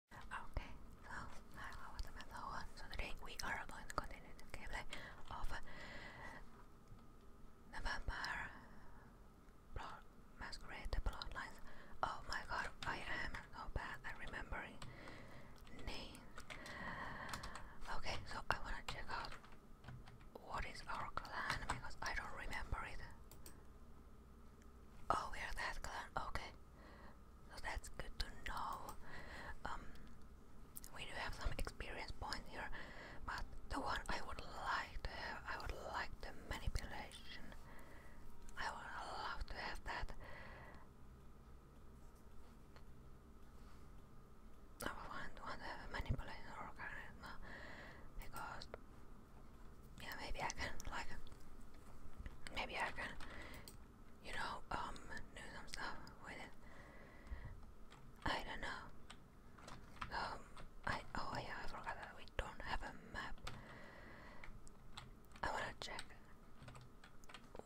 Okay, so hi, how was the So today we are going to continue the gameplay of the vampire blood masquerade bloodlines. Oh my god, I am so bad at remembering names. Okay, so I wanna check out what is our clan because I don't remember it. Oh, we that clan. Okay, so that's good to know. Um, we do have some experience points here, but the one I would like to have, I would like the manipulation. I would love to have that. I would want, to have a manipulation organism because yeah, maybe I can like maybe I can you know, um, do some stuff with I don't know. Um, I oh yeah, I we don't have a map. I wanna check.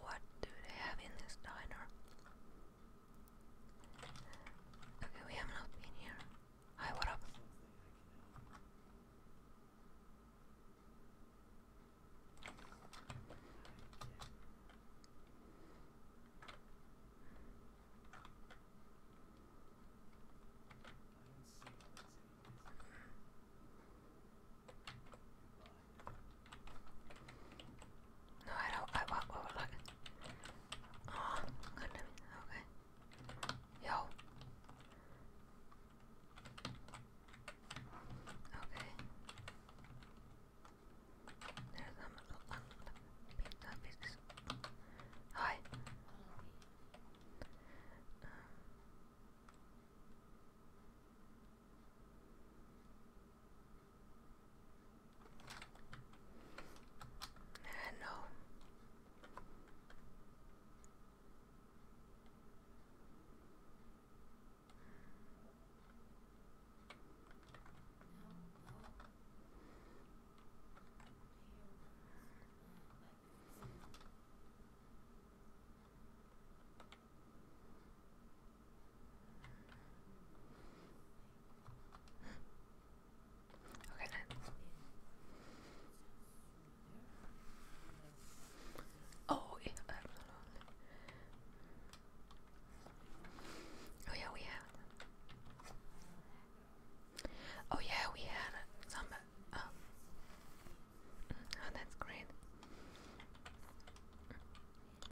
What do they have in this diner? Okay, we have not been here. Hi, what up? No, I don't. I want. What would like? Oh, oh Okay. Yo. Okay. There's some pizza pieces. Hi. Um, no. Okay then. Oh, yeah, we have. Oh, yeah, we had oh, some. Uh, mm, oh, that's great.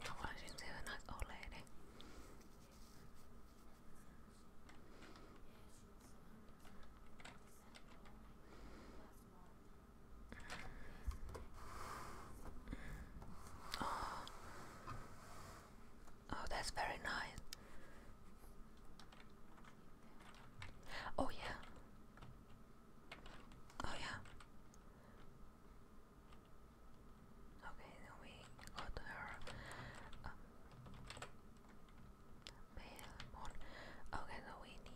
Oh, she's a nice old lady. Oh, oh that's very nice. Oh yeah. Oh yeah. Okay, then we go her uh, Okay, so we need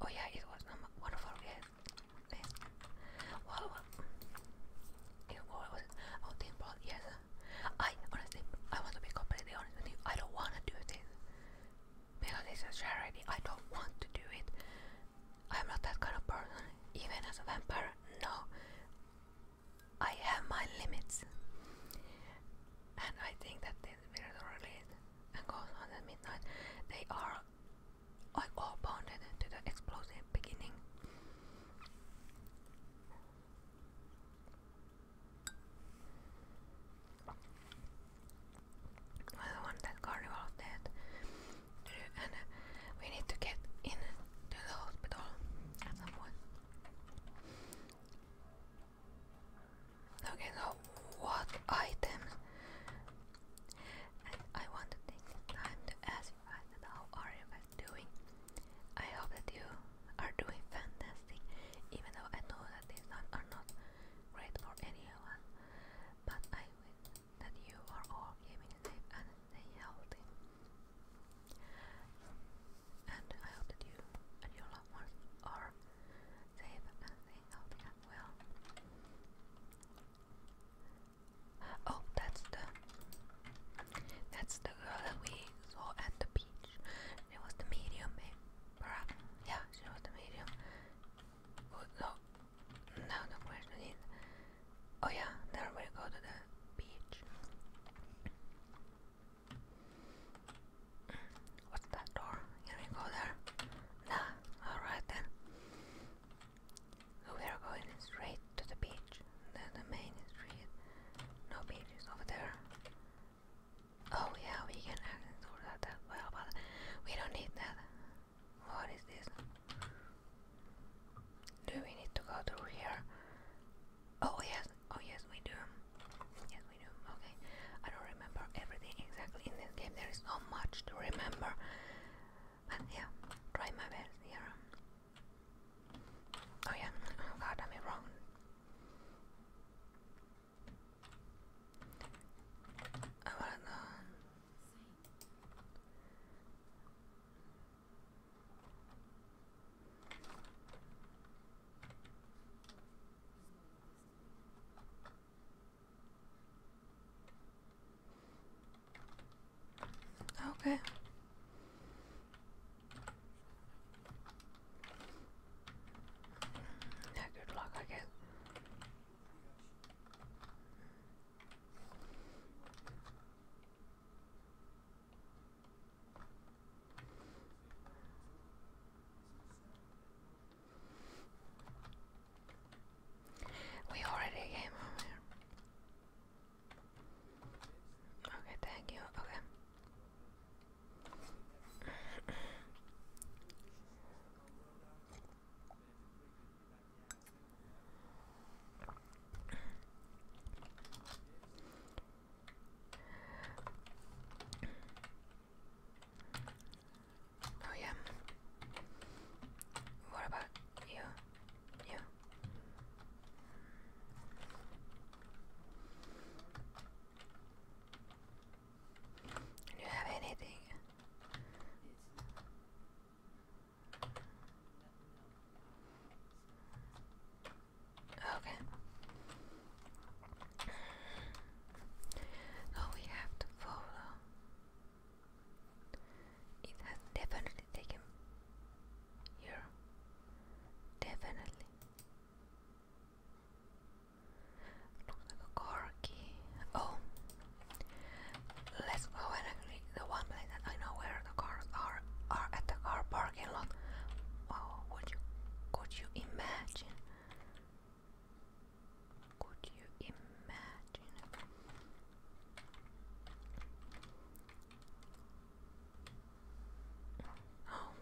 Oh yeah, it was number one of our What, It, was Oh, team ball, yes. I, honestly, I want to be completely honest with you. I don't want to do this. Because it's a charity, I don't want to do it. I'm not that kind of person. Even as a vampire, no. I have my limits. And I think that this video release and goes on at midnight. They are like all bonded to the explosive beginning. I want that carnival of death, and uh, we need to get in to the hospital at Okay, so what items? I want to take the time to ask you how are you guys doing? I hope that you are doing fantastic, even though I know that these times are not great for anyone. But I wish that you are all keeping safe and healthy. And I hope that you and your loved ones are safe and I hope that Oh, that's the that's the girl that we saw at the beach. She was the medium, Yeah, she was the medium. Oh, no, now the question Oh yeah, then we go to the beach. What's that door? Can we go there? Nah, alright then. we are going straight to the beach. Then the main street. No beaches over there. Oh yeah, we can access all that well, but we don't need that. What is this? Do we need to go through here? Oh yes, oh yes we do. Yes, we do. Okay. I don't remember everything exactly in this game. There is so much to remember. But yeah, try my best here. Oh yeah. Oh god, I'm wrong. I wanna go. Okay. Yeah, good luck, I guess. We already came over Okay, thank you. Okay. Oh yeah. What about you? You. Do you have anything? Okay. So oh, we have to follow. It has definitely taken here. Definitely. Looks like a car key. Oh. Let's go and actually the one place that I know where the cars are are at the car parking lot. Wow, oh, would you could you imagine? Could you imagine? Oh.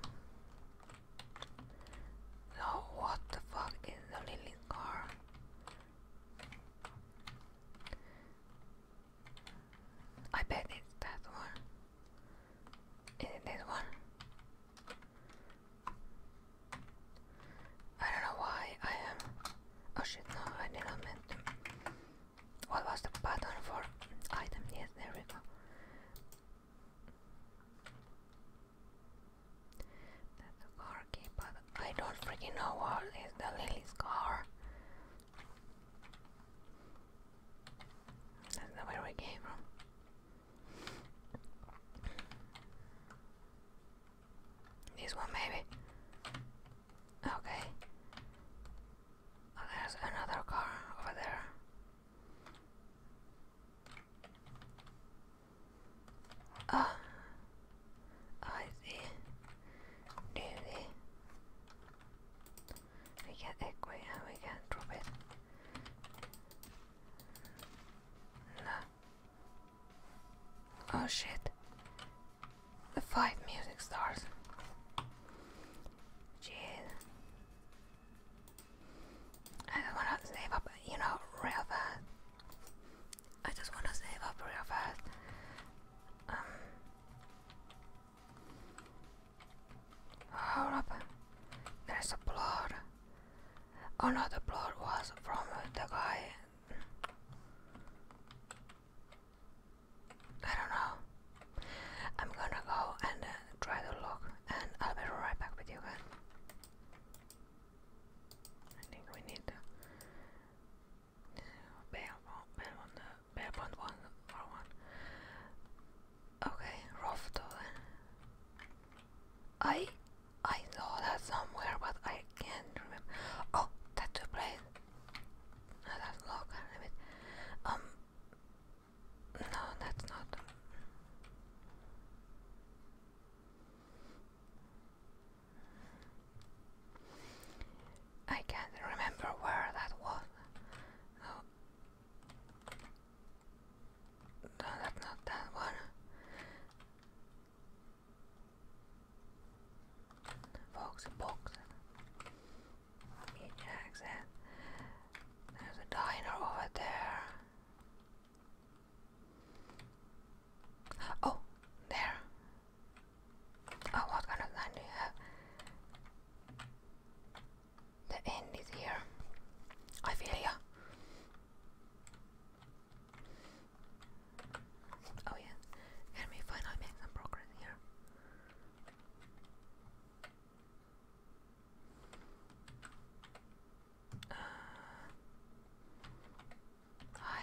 No, what the fuck is the Lily car? I bet it's that one. Is it this one? I don't know why I am. Oh shit, no, I did not meant What was the button for item? Yes, there we go. That's a car key, but I don't freaking know what is the Lily's car. That's not where we came from. This one maybe. Okay. Oh, there's another car over there. Ah, I see. Really? We can equip and we can drop it. No. Oh shit. The five music stars. Jeez. I just wanna save up, you know, real fast. I just wanna save up real fast. Um. Hold There's blood. Another plot was from the guy. I don't know. I'm gonna go and uh, try to look, and I'll be right back with you guys. I think we need bear one, bear one, one or Okay, rough I I saw that somewhere, but I can't remember. Oh, tattoo place. that's local. Limit. Um. No, that's not. I can't remember where that was. No. No, not that one. Fox and boxing. Jackson. There's a diner over there. Oh, there. Oh, what kind of line do you have? The end is here. I feel ya. Oh yeah, can we finally make some progress here? Uh, hi.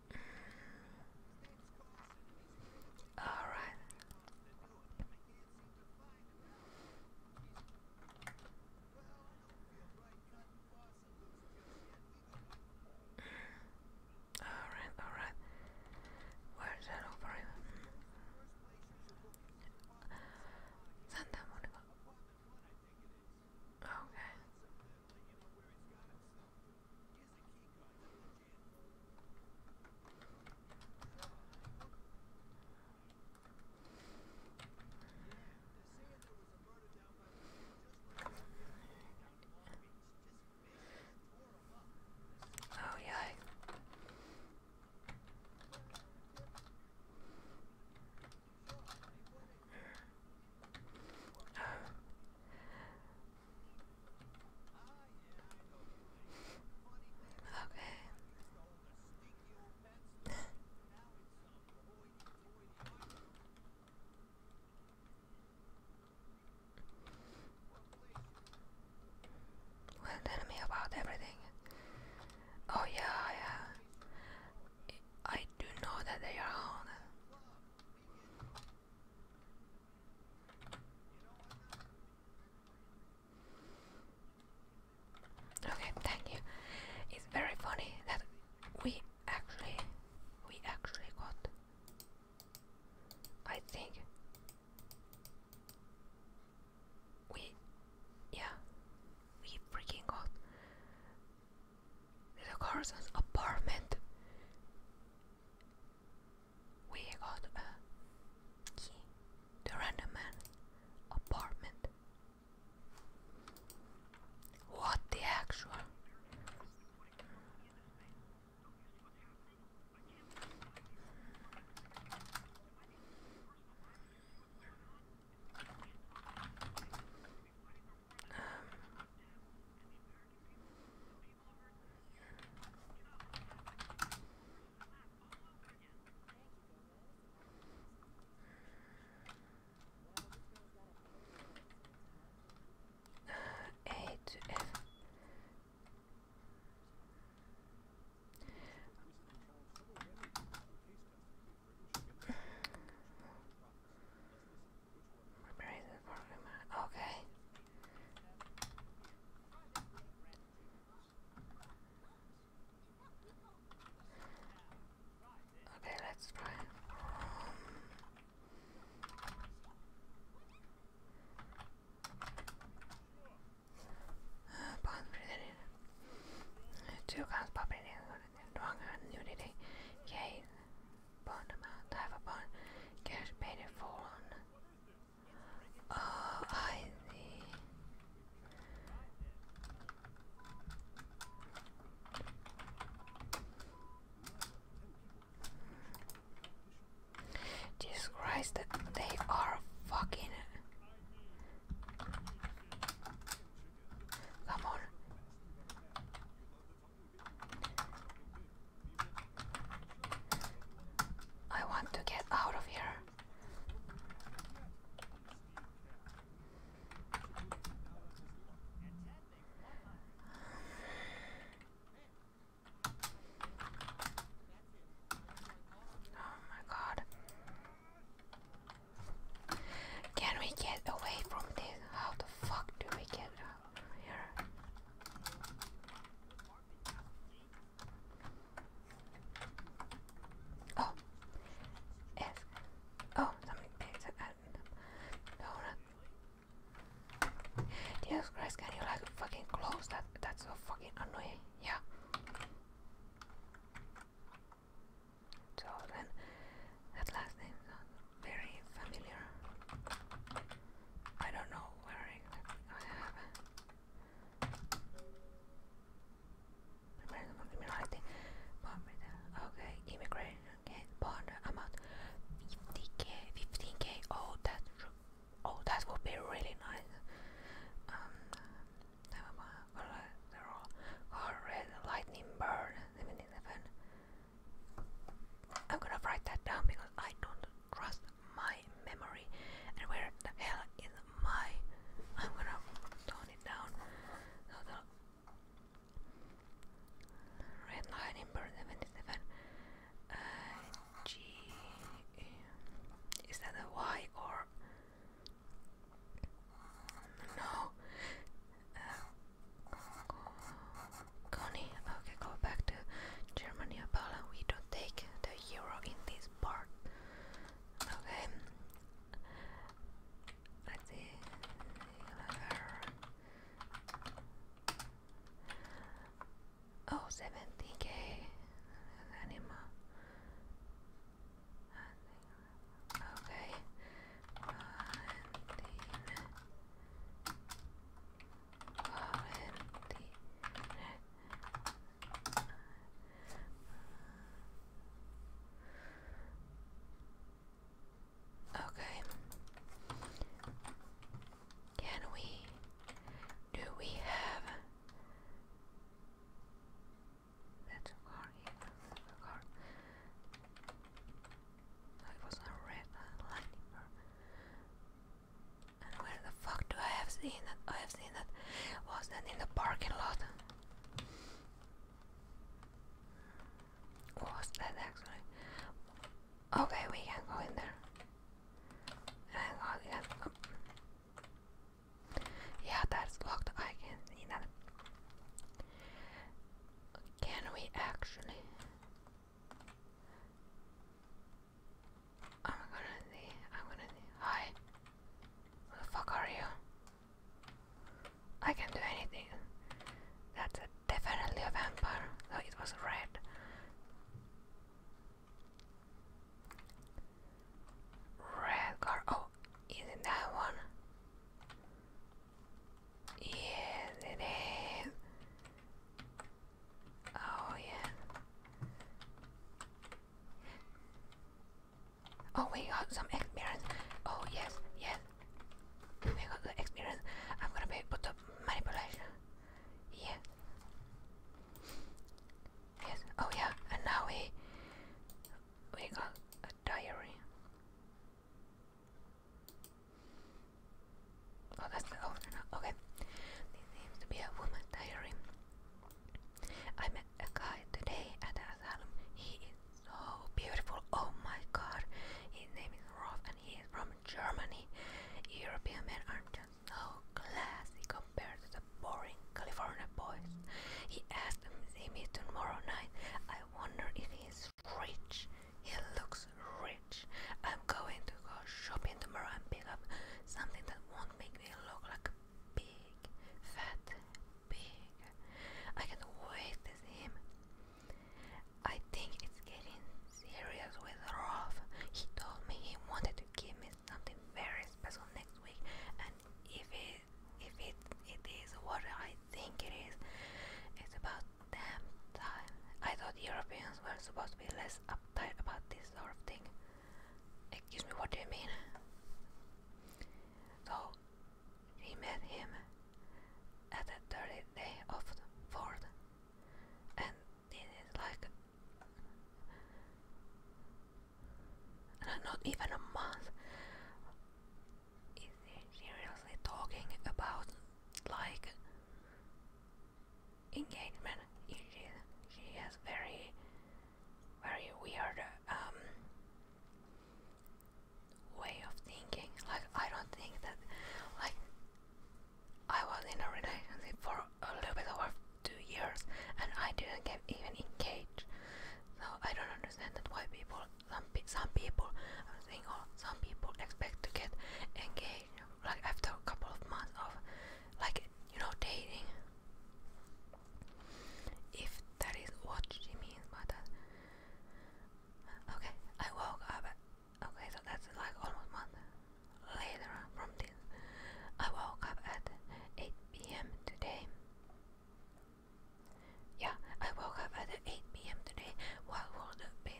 All right. All right, all right. Where's that over here? Santa Monica. Okay. Oh, yeah. Oh. Okay. well, tell me about everything. Oh yeah, yeah. I do know that they are on. Okay, thank you. It's very funny that we actually we actually got I think we yeah we freaking got the Carson's apartment we got a key to random man's apartment. What the actual? Um, Eight F. Okay. Okay, let's try. Um, uh, bond presented. Two guns popping in. Wrong hand, nudity. Yay. Bond amount. Type of bond. Cash paid in full on. Oh, I see. Jesus Christ, they are fucking. Come on. I want to get out of here. Oh my god. Can we get away from this? How the fuck do we get out here? Oh, F. Oh, something picked No, no. Christ, can you like fucking close that? That's so fucking annoying. Yeah. So then, that last name sounds very familiar. I don't know where exactly I have criminality. Okay, immigration okay, bond amount 50k, 15k. Oh, that oh, that would be really nice. Um, collateral, or red lightning bird. I'm gonna write that down because I don't crossed my memory. And where the hell is my? I'm gonna tone it down. So the red 77. Uh, G. Is that a Y or? No. Uh, Connie, okay, go back to Germany, Apollo. We don't take the euro in this part. Okay. Let's see. Oh, 70k. Animal. Okay. Okay. Can we do we have that's car here? That's car. No, it was not red, uh, lightning where the fuck do I have seen that? I have seen that. Was that in the parking lot? Was that actually? Okay, we can go in there. Yeah, that's locked. I can see that. Can we actually? I'm gonna need. I'm gonna need. Hi. Who the fuck are you? I can do anything. That's definitely a vampire. Though it was red. Red car. Oh, isn't that one? Yes, it is. Oh, yeah. Oh, we got some experience. Oh, yes, yes. We got the experience. I'm gonna be put up manipulation. Yeah. Yes. Oh, yeah. And now we we got a diary. Oh, that's the owner Okay. This seems to be a woman diary. I met a guy today at the asylum. He is so beautiful. Oh my god. His name is Rolf and he is from Germany. European men are just so classy compared to the boring California boys. He asked to see me tomorrow night. I wonder if he's rich. He looks rich. I'm going to go shopping tomorrow and pick up something that won't make me look like a big, fat pig. I can't wait to see him. I think it's getting serious with Rolf. He told me he wanted to give me something very special next week, and if it if it it is what I think it is, it's about damn time. I thought Europeans were supposed to be less uptight about this sort of thing. Excuse me, what do you mean? So he met him at the third day of the fourth, and it is like not even a month. Is he seriously talking about like engagement issues. She has very, very weird um, way of thinking. Like I don't think that, like I was in a relationship for a little bit over two years, and I didn't get even engaged. So I don't understand that why people, some, some people, I'm saying, some people expect to get engaged like after a couple of months of like you know dating if that is what she means by that okay I woke up okay so that's like almost month later from this I woke up at 8 p.m. today yeah I woke up at 8 p.m. today what would be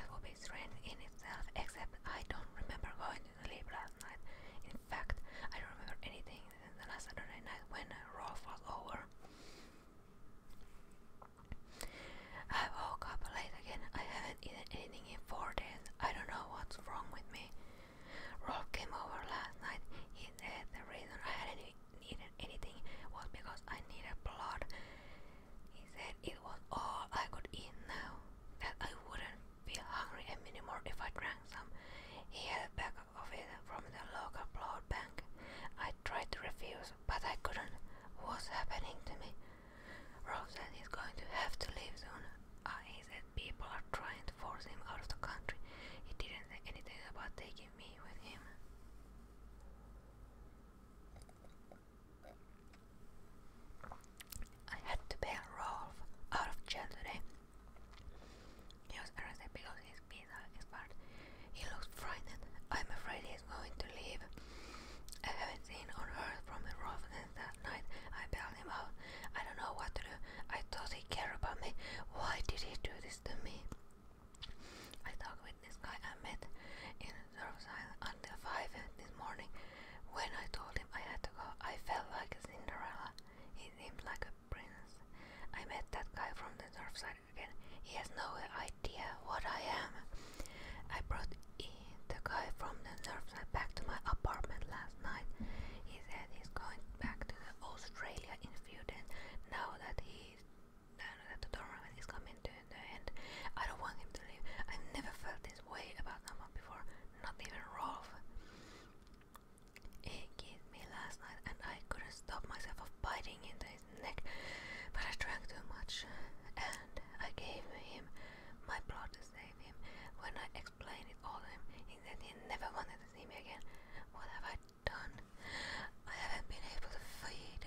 that would be strange in itself except I don't remember going last night. In fact, I don't remember anything the last Saturday night when Rolf was over. I woke up late again. I haven't eaten anything in four days. I don't know what's wrong with me. Rolf came over last night. He said the reason I hadn't eaten anything was because I needed blood. He said it was all I could eat now, that I wouldn't feel hungry and anymore if I drank some. He had a bag of it from the local blood bank. I tried to refuse, but I couldn't. What's happening to me? Rose said he's going to have to leave soon. Uh, he said people are trying to force him out of the country. He didn't say anything about taking me with him. I had to pay Rolf out of jail He was arrested because his visa expired. He looks frightened. I'm afraid he's going to leave. I haven't seen or heard from Rolf since that night I bailed him out. I don't know what to do. I thought he cared about me. Why did he do this to me? I talked with this guy I met in Surfside on at five this morning. When I told him I had to go, I felt like a Cinderella. He seemed like a prince. I met that guy from the north side again. He has no idea what I am. I brought the guy from the north side back to my apartment last night. He said he's going back to Australia in a few days. Now that he's now that the tournament is coming to the I don't want him to leave. i never felt this way about someone before not even Rolf. He kissed me last night and I couldn't stop myself of biting into his neck, but I drank too much and I gave him my blood to save him. When I explained it all to him, he said he never wanted to see me again. What have I done? I haven't been able to feed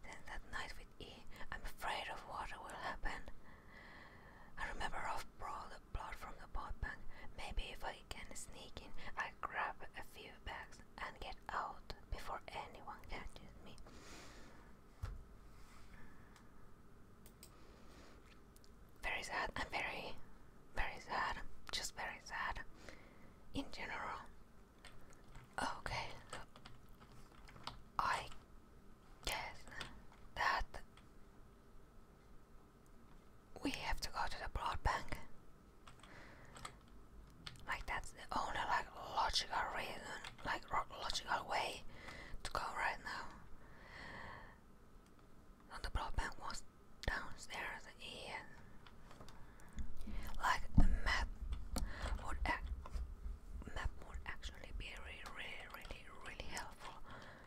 Then that night with E. I'm afraid of what will happen. I remember I've brought the blood from the pot bank. Maybe if I can sneak in, I grab a few bags and get out before anyone catches me. Very sad. I'm very, very sad. Just very sad in general. Okay, I guess that we have to go to the blood bank. Like that's the only like logical reason, like logical way to go right now. And the blood bank was downstairs and like the map would act map would actually be really really really really helpful I don't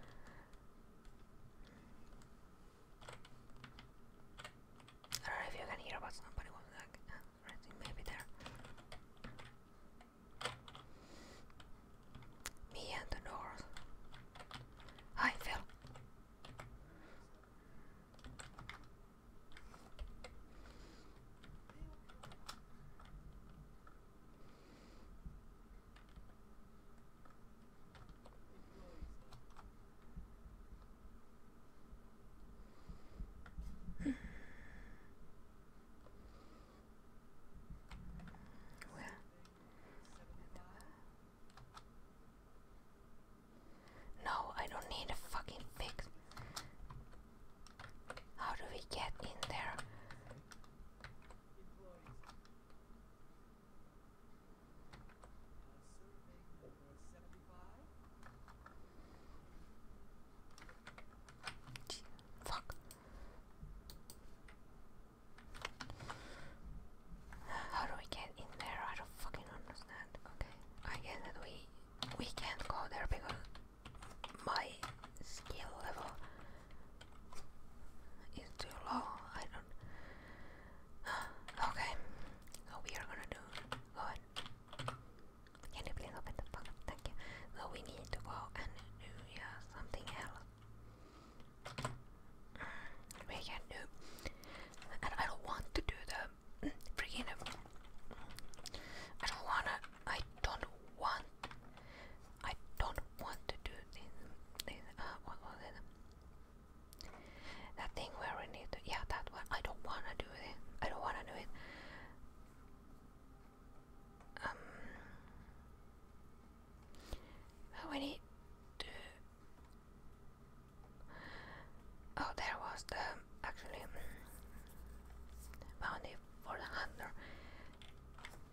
know if you can hear, but somebody was like maybe there. Me and the doors. I fell well, no, I don't need a fucking fix. How do we get in there? Fuck. How do we get in there? I don't fucking understand. Okay, I guess that we we can't go there because my skill level it's too low. I don't. okay, so we are gonna do. Go ahead. Can you please open the box? Thank you. So we need to go and do yeah, something else. We can do, and I don't want to do the freaking. I don't wanna. I don't want. I don't want to do this. this uh, what was it? That thing where we need to. Yeah, that one. I don't want to do it. I don't want to do it. Um. We need to. Oh, there was the actually bounty for the hunter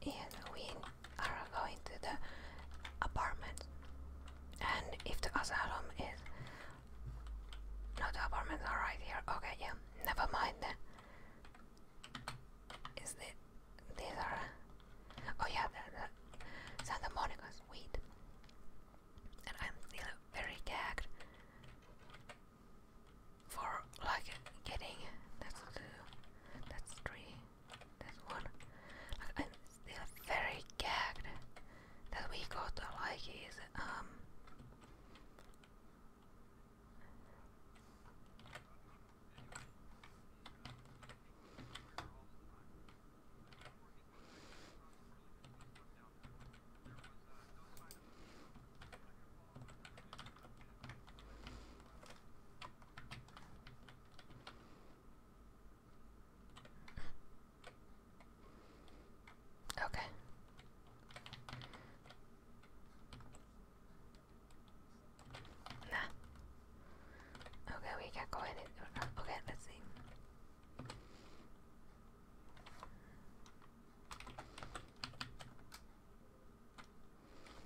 and we are going to the apartment. And if the asylum is no, the apartments here. Okay, yeah, never mind. Is it? These are. Oh yeah, Santa Monica's weed. And I'm still very gagged for like getting that's two, that's three, that one. Like, I'm still very gagged that we got uh, like his um Okay. Nah. Okay, we can go ahead and okay, let see.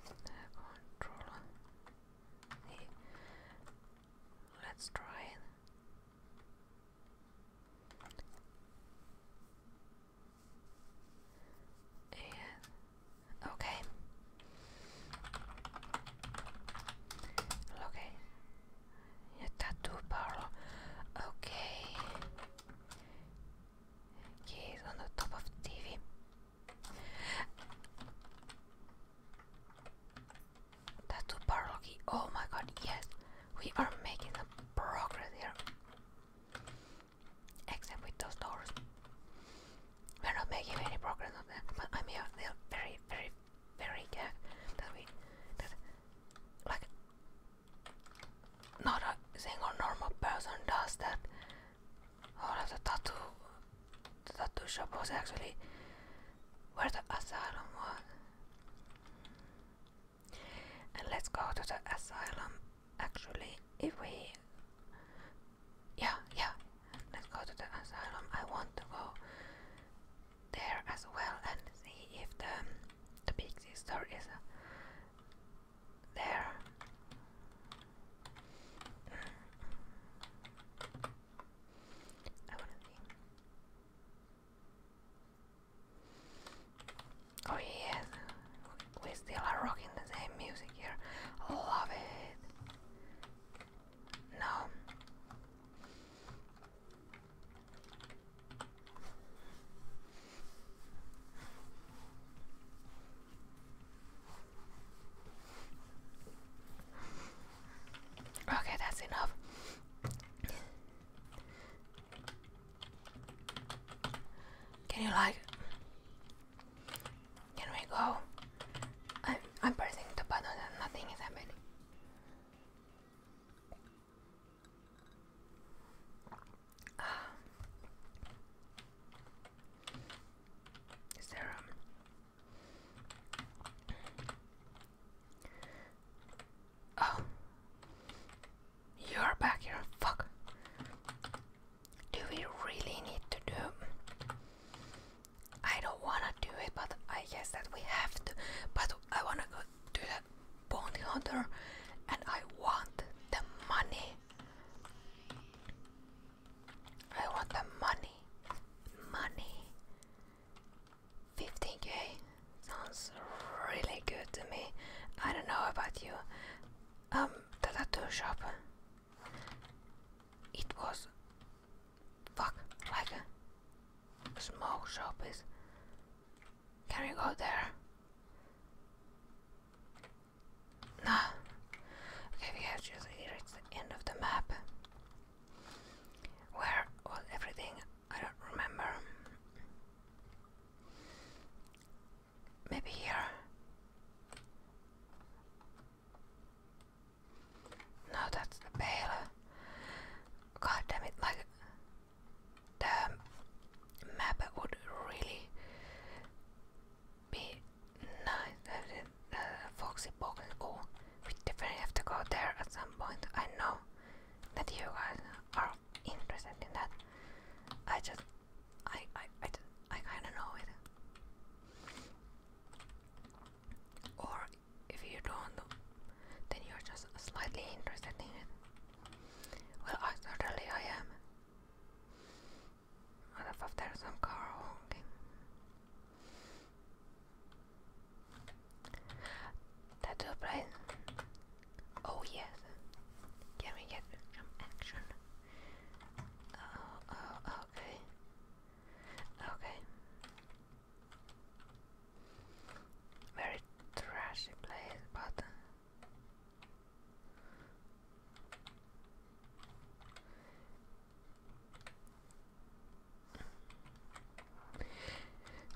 The controller. let's try it. And okay. Okay. Yeah, tattoo parlor. Okay. He on the top of TV. Tattoo parlor key. Oh my god, yes. We are making a progress here. Except with those doors. We're not making any progress on that. But i mean, uh, they're very, very, very good. that we that like not a single normal person does that. Oh, that's tattoo. The tattoo shop was actually where the asylum was. And let's go to the asylum actually if we yeah yeah let's go to the asylum I want to go there as well and see if the the big sister is there. Oh yes, we still are rocking the same music here. Love it. No. Okay, that's enough. Can you like? Can we go? I'm I'm pressing the button and nothing is happening. Ah. Is there um Oh You're back here, fuck. Do we really need to do I don't wanna do it but I guess that we have to but I wanna go do that bounty hunter and I want the money I want the money. Money. 15k sounds really good to me. I don't know about you. Um, the tattoo shop. It was fuck like a small shop is. Can we go there? Nah. Okay, we have just reached the end of the map. Where was everything? I don't remember. Maybe here. No, that's the bale. God damn it, like the map would really be night that uh, Foxy Boggle go. We definitely have to go there at some point. I know that you guys are interested in that. I just, I, I, I, I kind of know it. Or if you don't, then you're just slightly interested in it. Well, I certainly I am. I don't some car honking. Tattoo price. Oh yes. Can we get some action? Oh, oh, okay. Okay. Very trashy place, but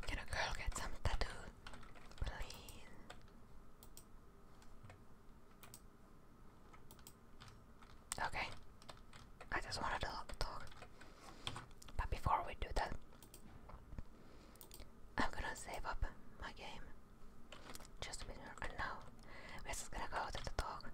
can a girl get some tattoo? Please. Okay. I just wanted to talk. But before we do that, I'm gonna save up my game. Just a minute. And now we're just gonna go to the dog.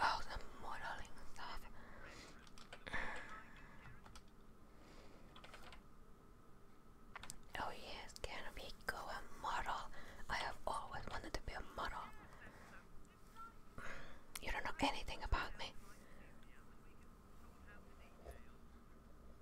Oh, the modeling stuff. oh yes, can we go a model? I have always wanted to be a model. you don't know anything about me.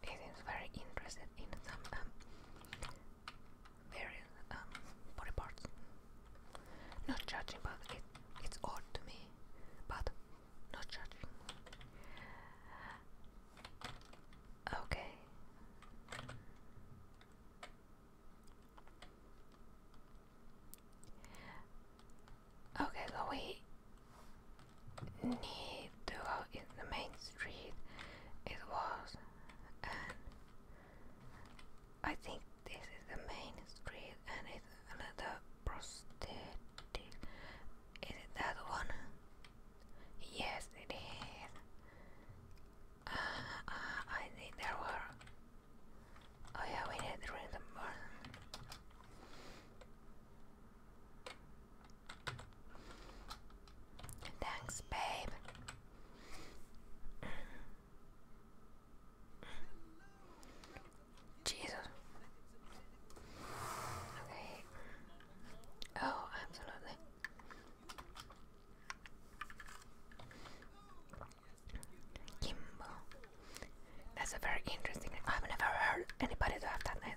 he seems very interested in some um, um, body parts. Not judging, but it, it's odd to me. But not judging. Okay. Okay, so we need to in the main street it was I think this is the main street and it's another prosthetic is it that one? Yes it is uh, uh, I think there were oh yeah we need to Thanks, babe. Jesus. Okay. Oh, absolutely. Kimbo. That's a very interesting name. I've never heard anybody do have that name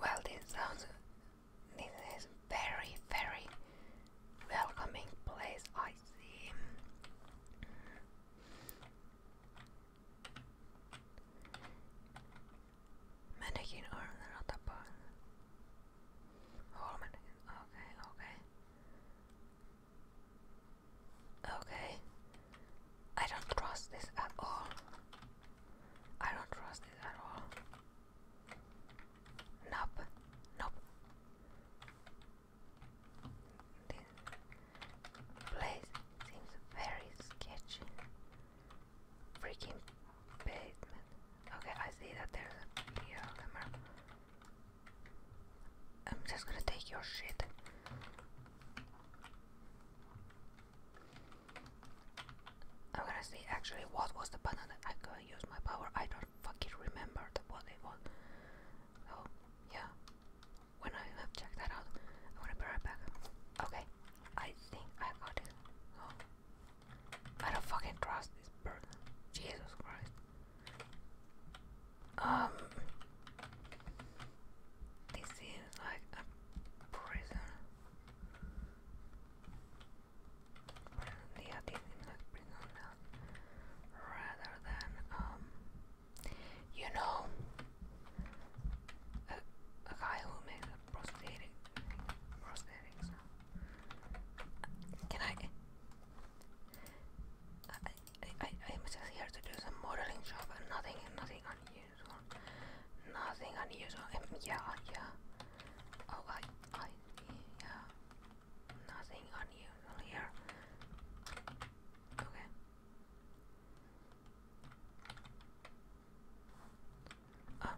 Well, this sounds this is very very welcoming place. I see. Mannequin or not a bone. Whole Okay, okay. Okay. I don't trust this at all. I don't trust this at all. Nope. Nope. This place seems very sketchy. Freaking basement. Okay, I see that there's a video I'm just gonna take your shit. I'm gonna see actually what was the button that I could use my power. I don't fucking remember the what it was. Oh yeah. When I have checked that out, I'm gonna be right back. Okay. I think I got it. Oh. I don't fucking trust this person. Jesus Christ. Um, this seems like a prison. prison yeah, this seems like prison rather than um, you know, a, a guy who makes a prosthetics. Can I uh, I, am just here to do some modeling job and nothing, nothing unusual. Nothing unusual. Um, yeah, yeah. Oh, I, I, yeah. Nothing unusual here. Okay. Ah.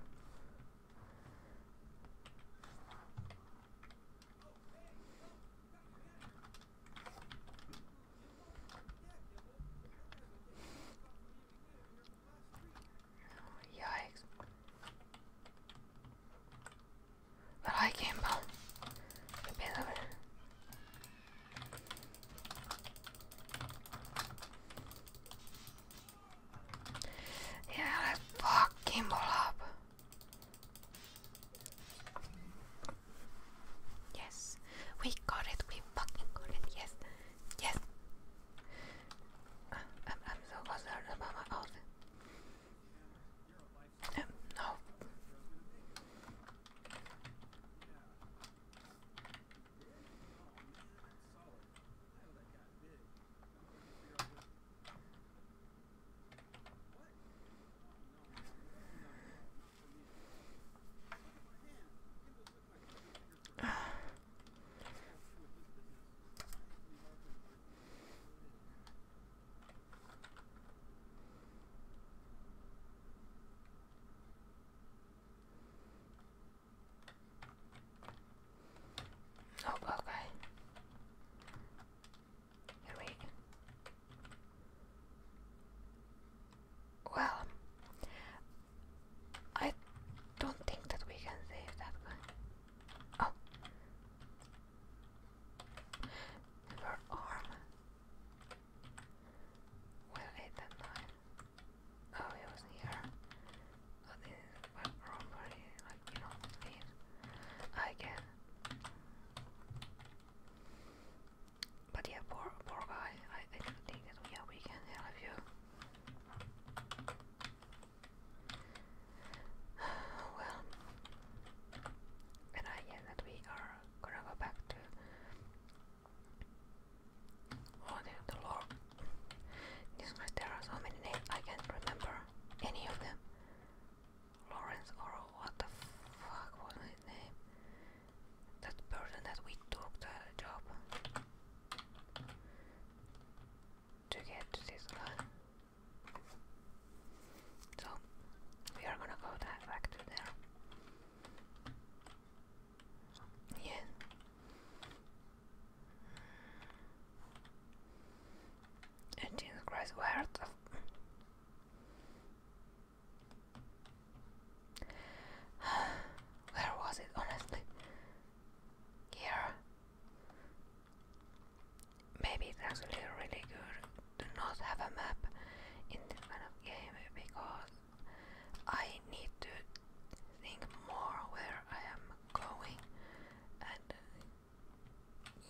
Yeah, But I came out. Yeah, let fuck Kimball up. Yes, we got it. We fucking got it. Yes, yes. Uh, I'm, I'm so concerned about my outfit. Um, no. Oh, okay. Here well, I don't think that we can save that one. Oh, her arm. Well, eight and nine. Oh, it was here. Oh, this is like you know, I can. But yeah, poor, poor guy. I, I didn't think that we can help you. well, and I guess that we are gonna go back to oh, the, lore. This guy, there so many names I can't remember any of them. Lawrence or what the fuck was his name? that person that we took the job to get this So we are gonna go that back to there. Yeah. Jesus Christ, where the Where was it, honestly? Here. Maybe it's actually really good to not have a map in this kind of game because I need to think more where I am going and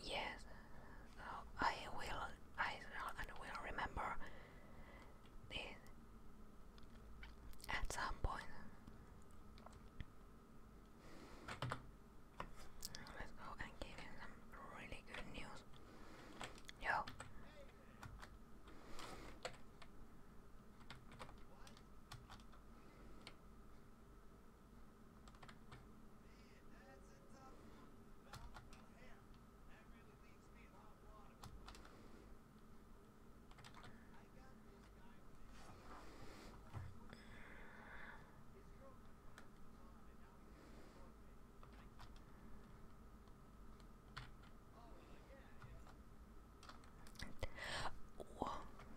yes so I will I and will remember at some point. Let's go and give him some really good news. Yo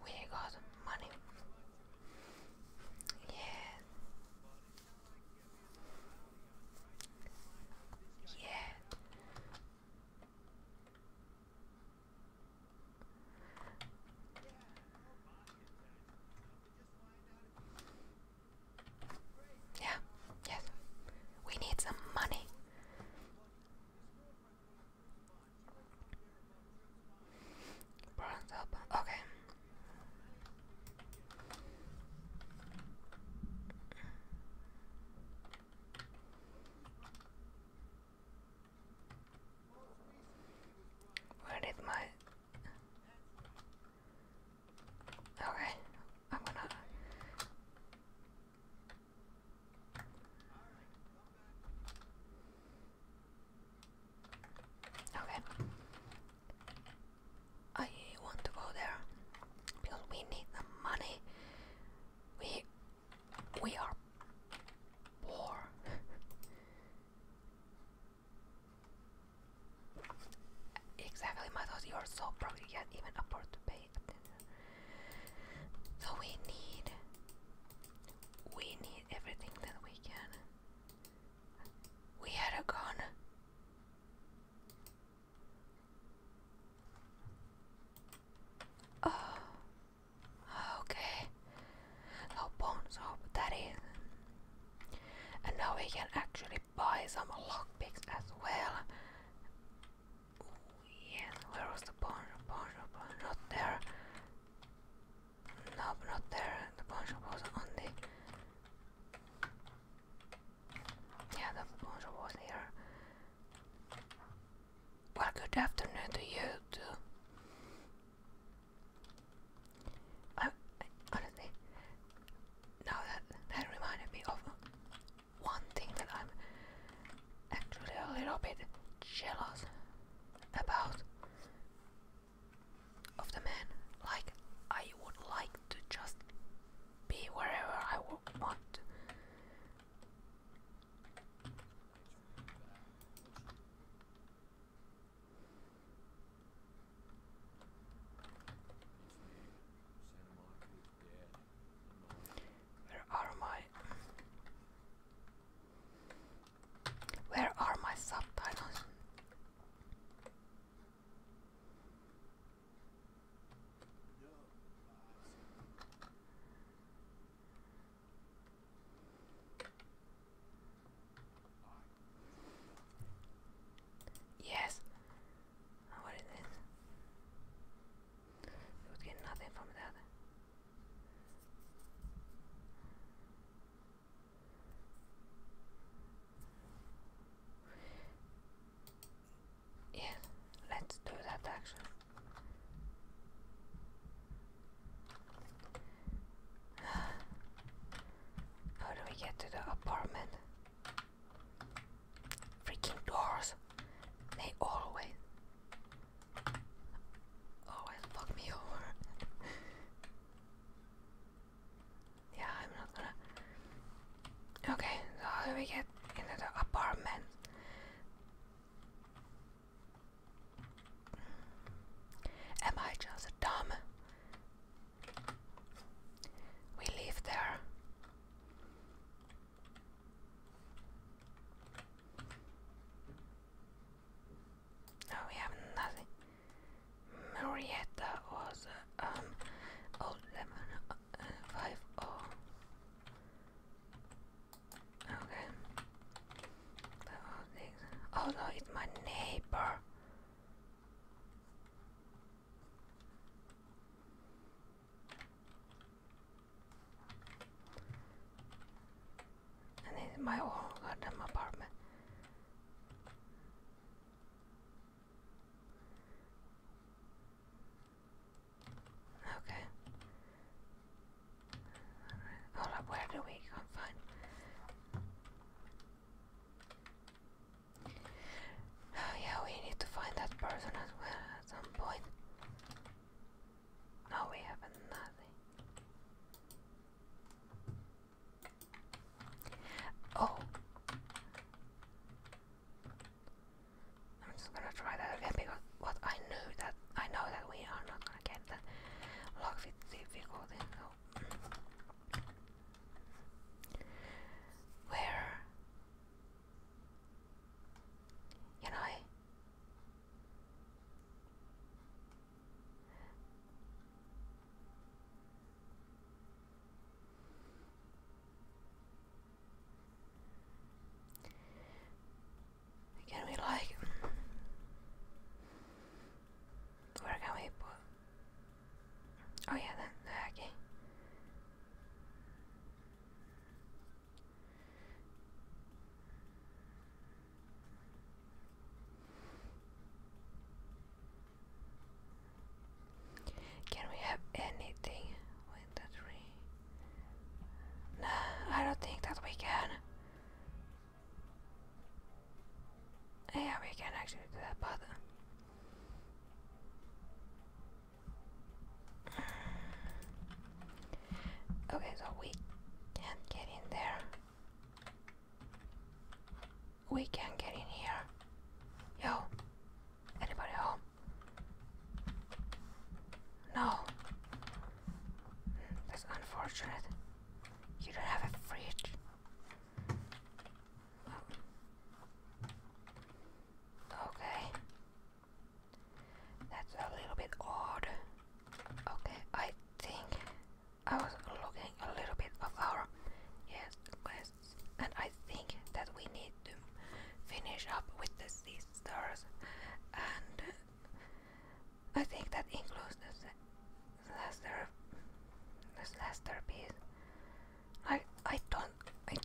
we got money. Yeah. Yeah. Yeah, yes. We need some money. Bronze up. Okay. Where did my Okay, I'm gonna Okay. I want to go there because we need the money. We we are poor. exactly, Matos, you are so broke you can't even afford to pay So we need we need everything that we can. We had a gun. Oh, okay. So bone soap, that is. And now we can actually buy some lockpicks as well. Ooh, where was the bone shop? not there. Nope, not there. The bone was on the yeah, the sponsor was here. Well, good afternoon to you too. honestly, now that that reminded me of one thing that I'm actually a little bit jealous about of the man. Like I would like to just be wherever I what? Where are my Where are my subtitles? Yes. What is this? You get nothing from that. Yeah, let's do that action. How do we get to the apartment? Freaking doors! They always always fuck me over. yeah, I'm not gonna Okay, so how do we get into the apartment? Am I just dumb? We live there. No, we have nothing. Marietta was um old lemon five O. Oh. Okay. Oh no, it's my neighbor. And it's my own goddamn apartment. Okay. Hold up, where do we go? Fine. Oh, yeah, we need to find that person as well at some point. No, we have nothing. Oh. I'm just gonna try that again because what I knew that I know that we are not gonna get the lock fit difficulty. So where can I? Can we like where can we Oh yeah, then okay. Can we have anything with the tree? No, I don't think that we can. Yeah, we can actually do that, but... Okay, so we can't get in there. We can get in here. Yo, anybody home? No. That's unfortunate. You don't have a fridge. Okay. That's a little bit odd. Okay, I think I was looking a little bit of our yes glass and I think that we need to finish up with the sisters, and I think that includes the laster, this laster piece. I I don't I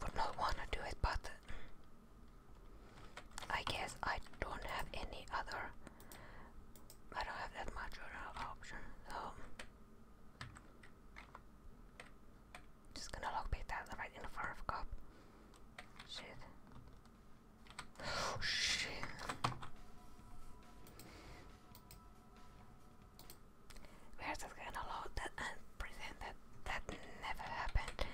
would not want to do it, but I guess I don't have any other. I don't have that much other option, so. Just gonna lockpick that right in front of cop. Shit. Oh, shit. We're gonna load that and that never happened.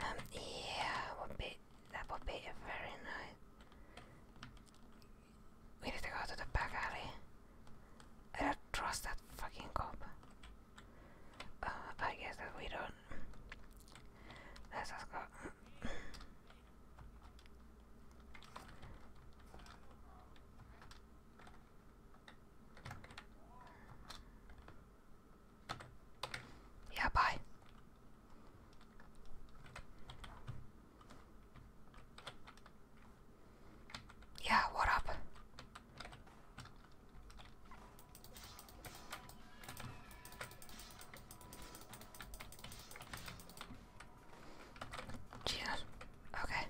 Um yeah would be that would be a very nice We need to go to the back alley. trust that fucking cop. Uh, I guess that we don't. Let's just go. yeah, bye. Yeah, what up? Jesus. Okay.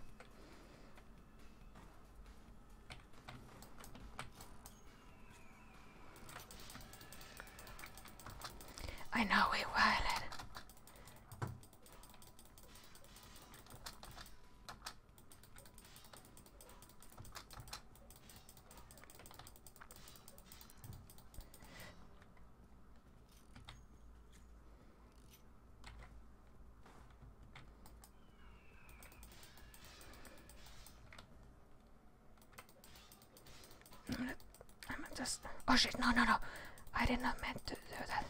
I know we were. I'm just. Oh shit! No, no, no! I did not meant to do that.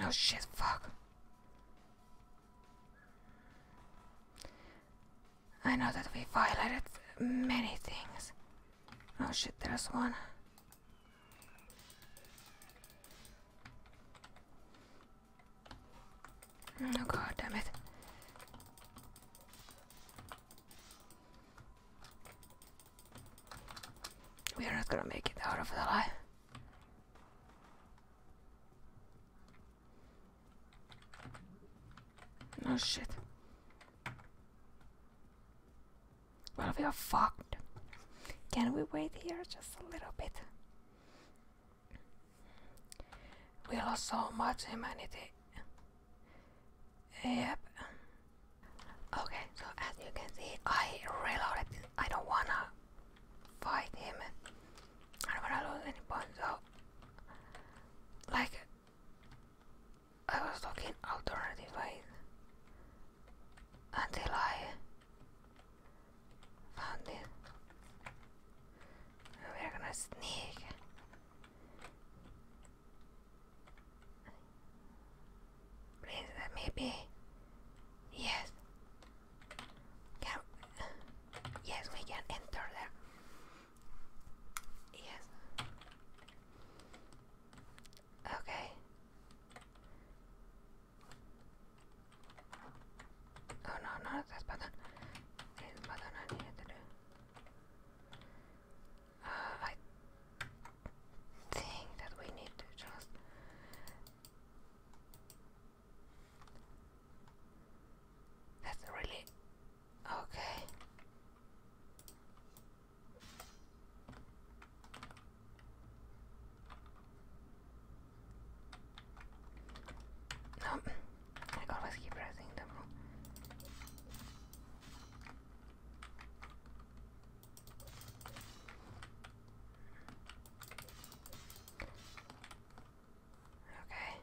No shit, fuck. I know that we violated many things. Oh shit, there's one. Oh god damn it. We are not gonna make it out of the alive. Oh shit. Well, we are fucked. Can we wait here just a little bit? We lost so much humanity. Yep. Okay, so as you can see, I reloaded. This. I don't wanna fight him. I don't wanna lose any points. So, like, I was looking alternative ways until I Found it. We're gonna sneak. Please Yes. Can yes, we can enter there. Yes. Okay. Oh no, no! this button. This button I uh, I think that we need to just that's really okay. No, I always keep pressing them. Okay.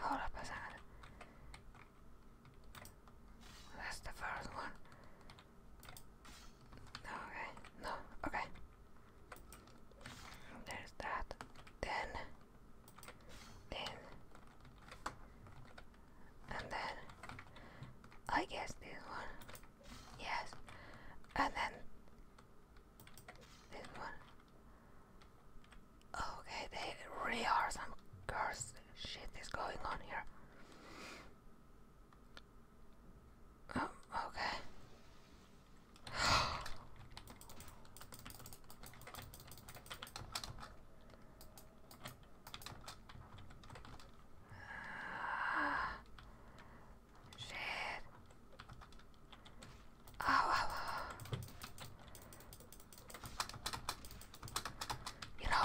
Hold up a second. That's the first one okay, no, okay. There's that. Then, then, and then, I guess this one. Yes, and then this one. Okay, they really are some cursed shit is going on here. Oh, okay. Ah, shit. Oh, oh, You know,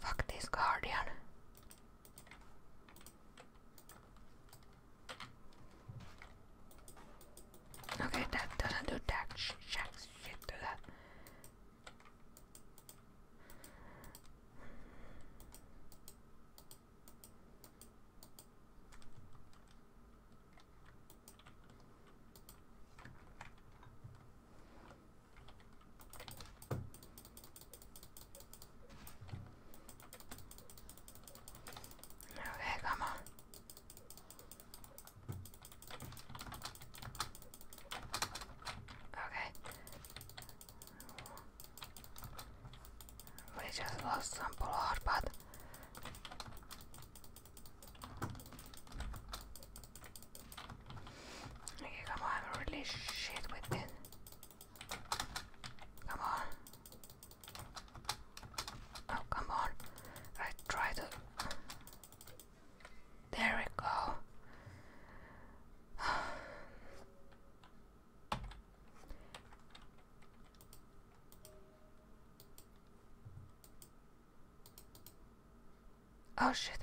fuck this guardian. Okay, that doesn't do that sh shit to that. Okay, come on. Okay. We just lost some blood, but Okay, come on, really shit with it. Come on. Oh, come on. I tried to. There we go. Oh shit.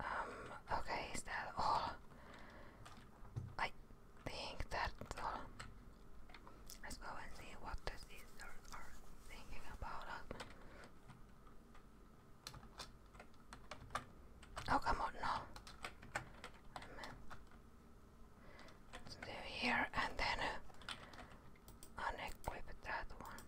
Um, okay, is that all? I think that's all. Let's go and see what the sisters are thinking about Oh, come on, no. Let's do here and then uh, unequip that one.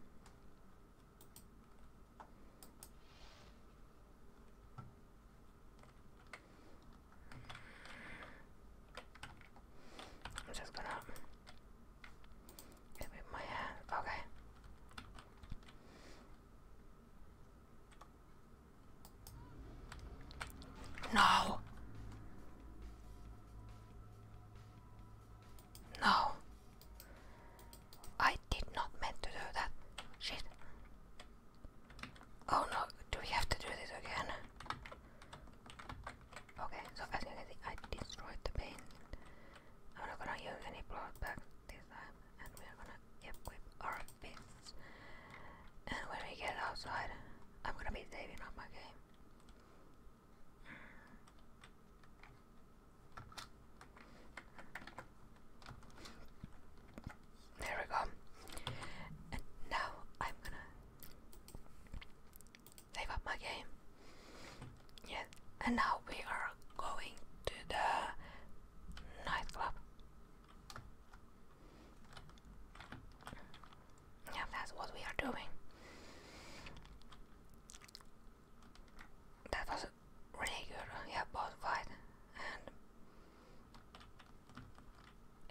I'm just gonna get with my hand. Okay. No. No. I did not mean to do that. Shit. Oh no, do we have to do this again? Okay, so as you can see, I destroyed the paint. I'm not gonna use any blood back this time, and we're gonna equip our fists. And when we get outside, I'm gonna be saving up my game. There we go. And now I'm gonna save up my game. Yes, and now we are going to the nightclub. Yeah, that's what we are doing that was really good. Yeah, both fight and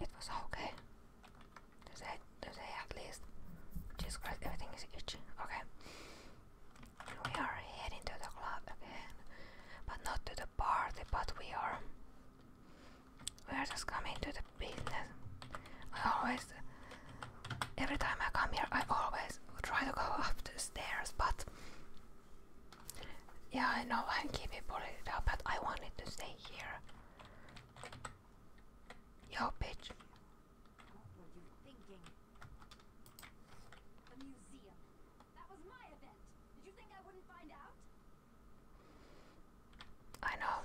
it was okay. To say, to say at least. just Christ, everything is itching. Okay. We are heading to the club again, but not to the party. But we are. We are just coming to the business. I always Every time I come here, I always try to go up the stairs, but yeah, I know I'm keeping it up, but I wanted to stay here. Yo, bitch. I know.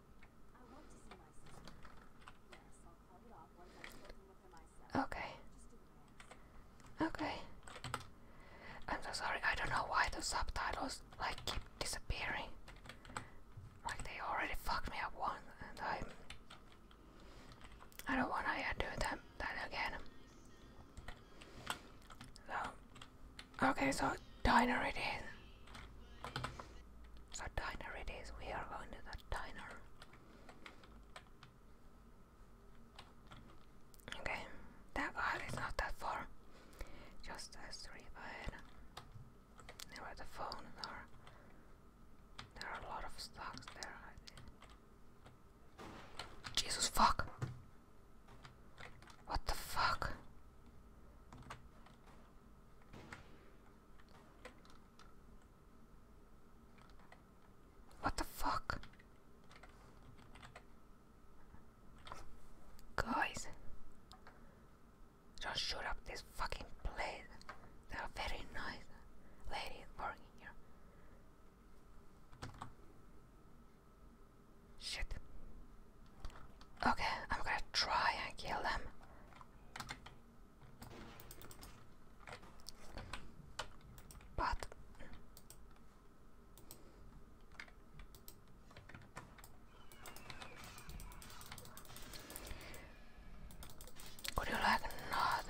Okay. Okay. I'm so sorry, I don't know why the subtitles like keep disappearing. Like they already fucked me up once and I'm I i do wanna do that again. So okay so diner it is. So diner it is, we are going to diner. Okay, that not that far. Just a street ahead. There where the phones are. There are a lot of stocks there. Jesus fuck! What the fuck? What the fuck? Guys, don't up this fucking place. There are very nice ladies working here. Shit. Okay, I'm gonna try and kill them. Pato. Would you like not?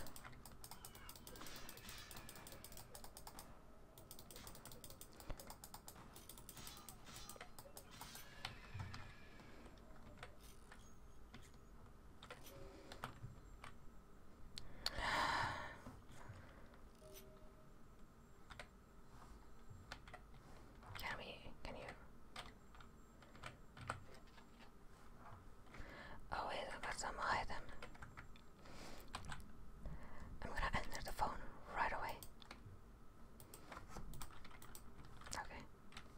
Can we? Can you? Oh wait, I got some item. I'm gonna enter the phone right away. Okay.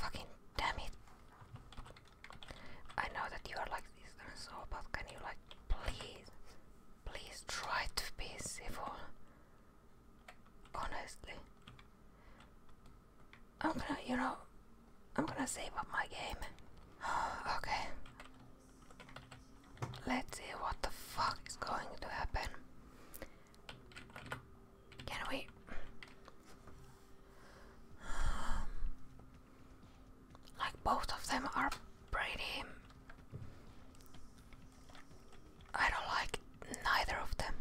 Fucking damn it. I know that you are like this and so, but can you like please, please try to be civil? Honestly. I'm gonna, you know, I'm gonna save up my game. okay. Let's see what the fuck is going to happen can we? Like both of them are pretty. I don't like neither of them.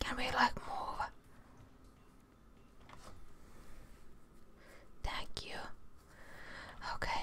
Can we like move? Thank you. Okay.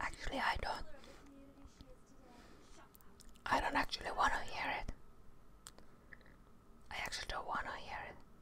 Actually, I don't. I don't actually want to hear it. I actually don't want to hear it.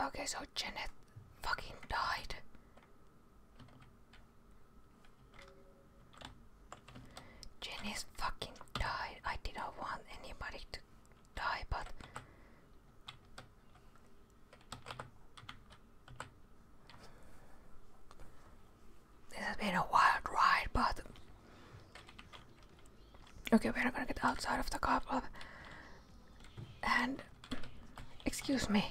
Okay, so Janet fucking died. Jenny's fucking died. I didn't want anybody to die, but. This has been a wild ride, but Okay, we're not gonna get outside of the car club. And excuse me.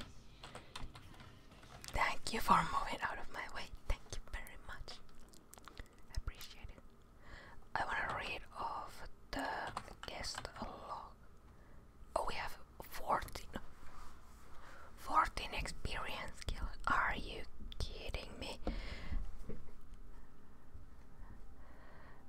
Thank you for moving out of my way. Thank you very much. Appreciate it. I wanna read off the guest log. Oh, we have 14. 14 experience skill. Are you kidding me?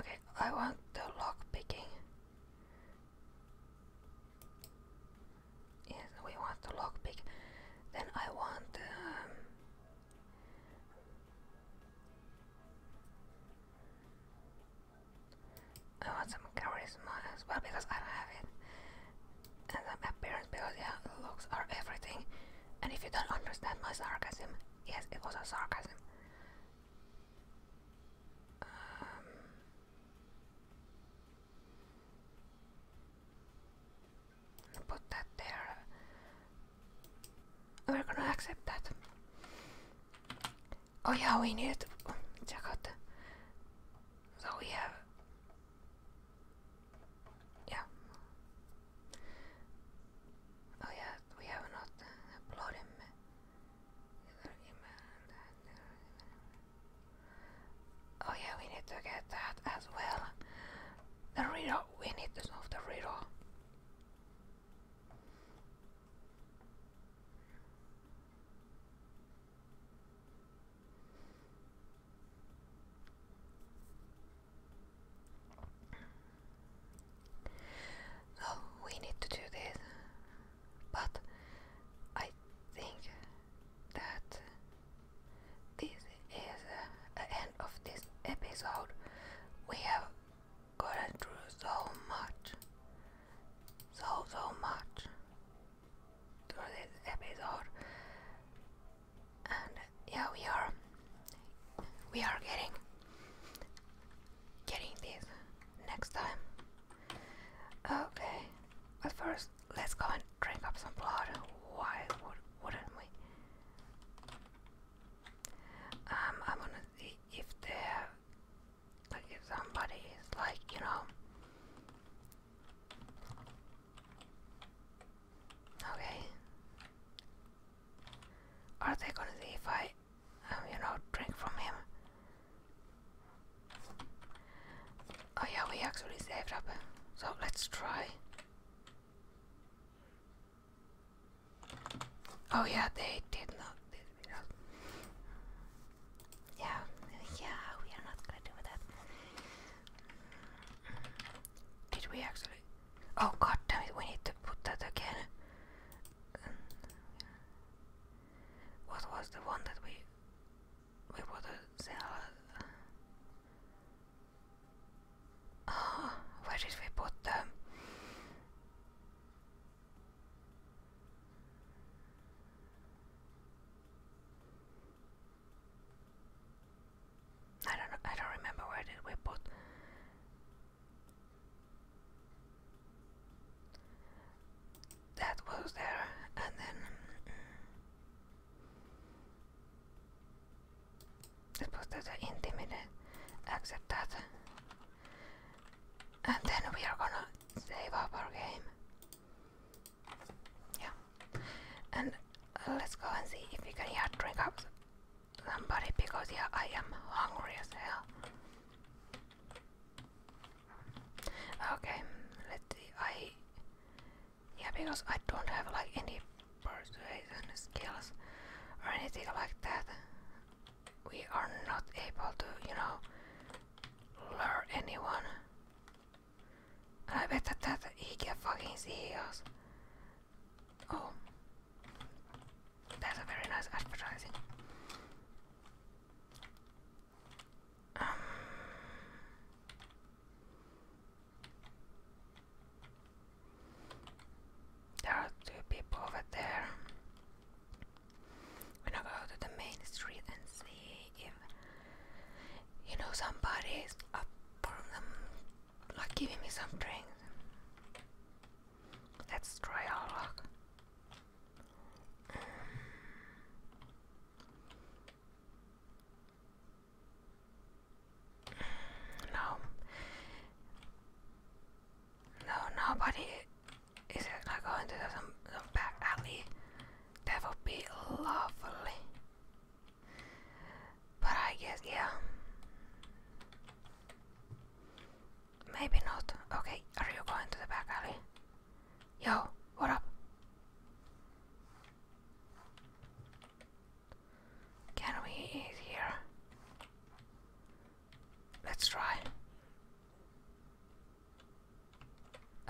Okay, I want the lock picking. Yes, we want the lock pick. Then I want. Um, I want some charisma as because I don't have it. And some appearance because yeah, looks are everything. And if you don't understand my sarcasm, yes, it was a sarcasm. Um, put that there. We're gonna accept that. Oh yeah, we need to check out. so we have. Yeah. Oh yeah, we have not uh, uploaded Oh yeah, we need to get that as well. The riddle. We need to solve the riddle. Oh, we need to do this, but I think that this is the end of this episode. We have gotten through so much, so so much through this episode, and yeah, we are we are getting getting this next time. Okay, but first let's go and drink up some blood. Why would, wouldn't we? Um, I going to see if they there, like, if somebody is like, you know. Okay. Are they gonna see if I Oh, you know, drink from him. Oh yeah, we actually saved up. So let's try. Oh yeah, they did not. Did Yeah, yeah, we are not gonna do that. Did we actually? Oh god damn it, we need to put that again. What was the one that we we bought a salad? Ah, where did we put them? I don't I don't remember where did we put that was there, and then it was the intimate exit that, and then we are gonna save up our game. Yeah, and let's go and see if we can yeah drink up somebody because yeah I am hungry as hell. Okay, let's see. I yeah, because I don't have like any persuasion skills or anything like that. We are not able to, you know, lure anyone. I bet that, that he can fucking ears. Oh. That's a very nice advertising. Um, there are two people over there. We're gonna go to the main street and see if you know somebody is up for them, like giving me some drinks. Let's try our luck no. No, nobody is like going to some, some back alley. That would be lovely. But I guess, yeah. Maybe not. Okay, are you going to the back alley? Yo, what up? Can we eat here? Let's try.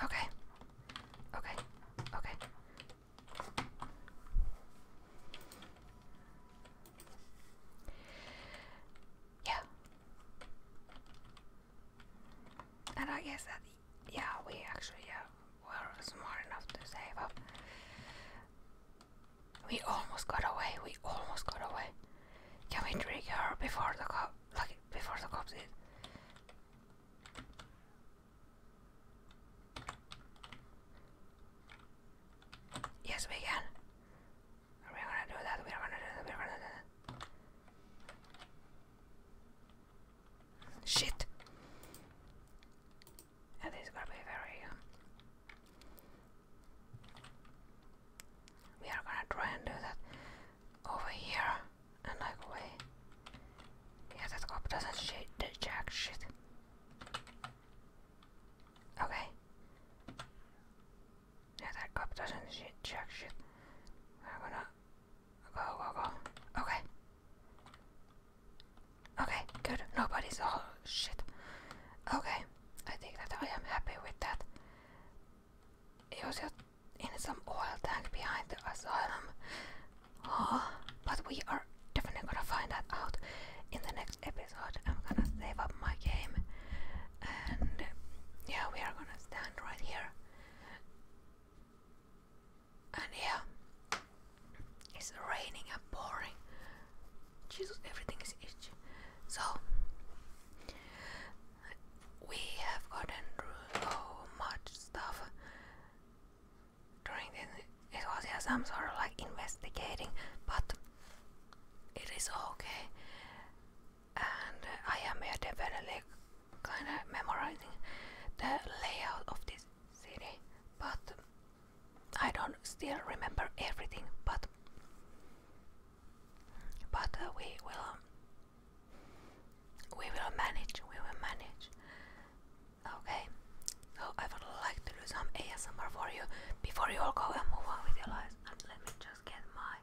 Okay. Okay. Okay. Yeah, and I guess that, yeah, we actually uh, were smart enough to save up. We almost got away. We almost got away. Can we trigger her before the cop? Like before the cops did. Yes, we can. We're gonna do that, we're gonna do that, we're gonna do that. Shit! And this is gonna be very. Um, we are gonna try and do that over here and like away. Yeah, that cop doesn't shit, jack shit. Okay. Yeah, that cop doesn't shit, check shit. We're gonna go, go, go. Okay. Okay, good. Nobody's all oh, shit. Okay, I think that I am happy with that. It was just in some oil tank behind the asylum. Oh, but we are definitely gonna find that out in the next episode. I'm gonna save up my game and um, yeah we are gonna stand right here and yeah it's raining and pouring jesus everything is itchy so we have gotten through so much stuff during this it was yeah, some sort of like investigating but it is okay and I am here definitely kind of memorizing the layout of this city, but I don't still remember everything. But but uh, we will we will manage. We will manage. Okay. So I would like to do some ASMR for you before you all go and move on with your lives. let me just get my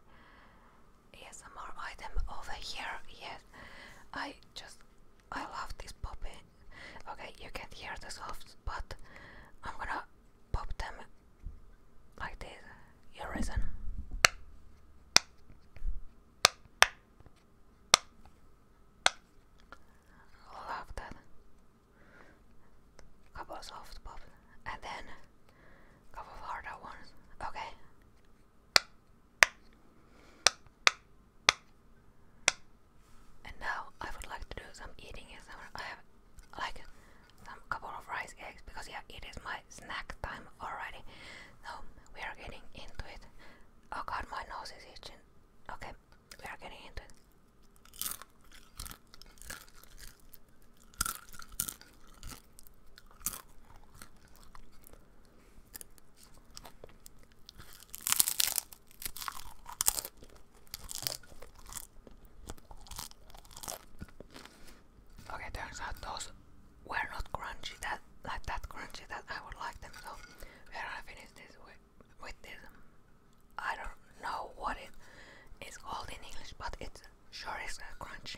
yes, item over here. Yes, I just I love this poppy. Okay, you can hear the softs, but I'm gonna pop them like this. You reason. Love that. Couple soft pops, and then a couple of harder ones. Okay. And now I would like to do some eating I have like some couple of rice eggs because yeah it is my snack time already. So we are getting into it. Oh god my nose itching. Okay, we are getting into it. Okay, turns out those were not crunchy that like that crunchy that I would like them. So we're gonna finish this with, with this, I don't know what it is called in English, but it's Sure, it's not crunchy.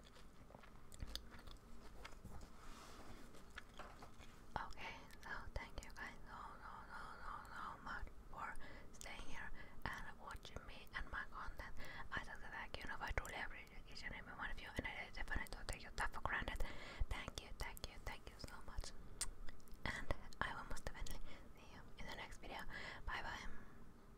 Okay, so thank you guys so so so so so much for staying here and watching me and my content. I just like you know I truly appreciate every one of you and I definitely don't take your stuff for granted. Thank you, thank you, thank you so much. And I will most definitely see you in the next video. Bye bye.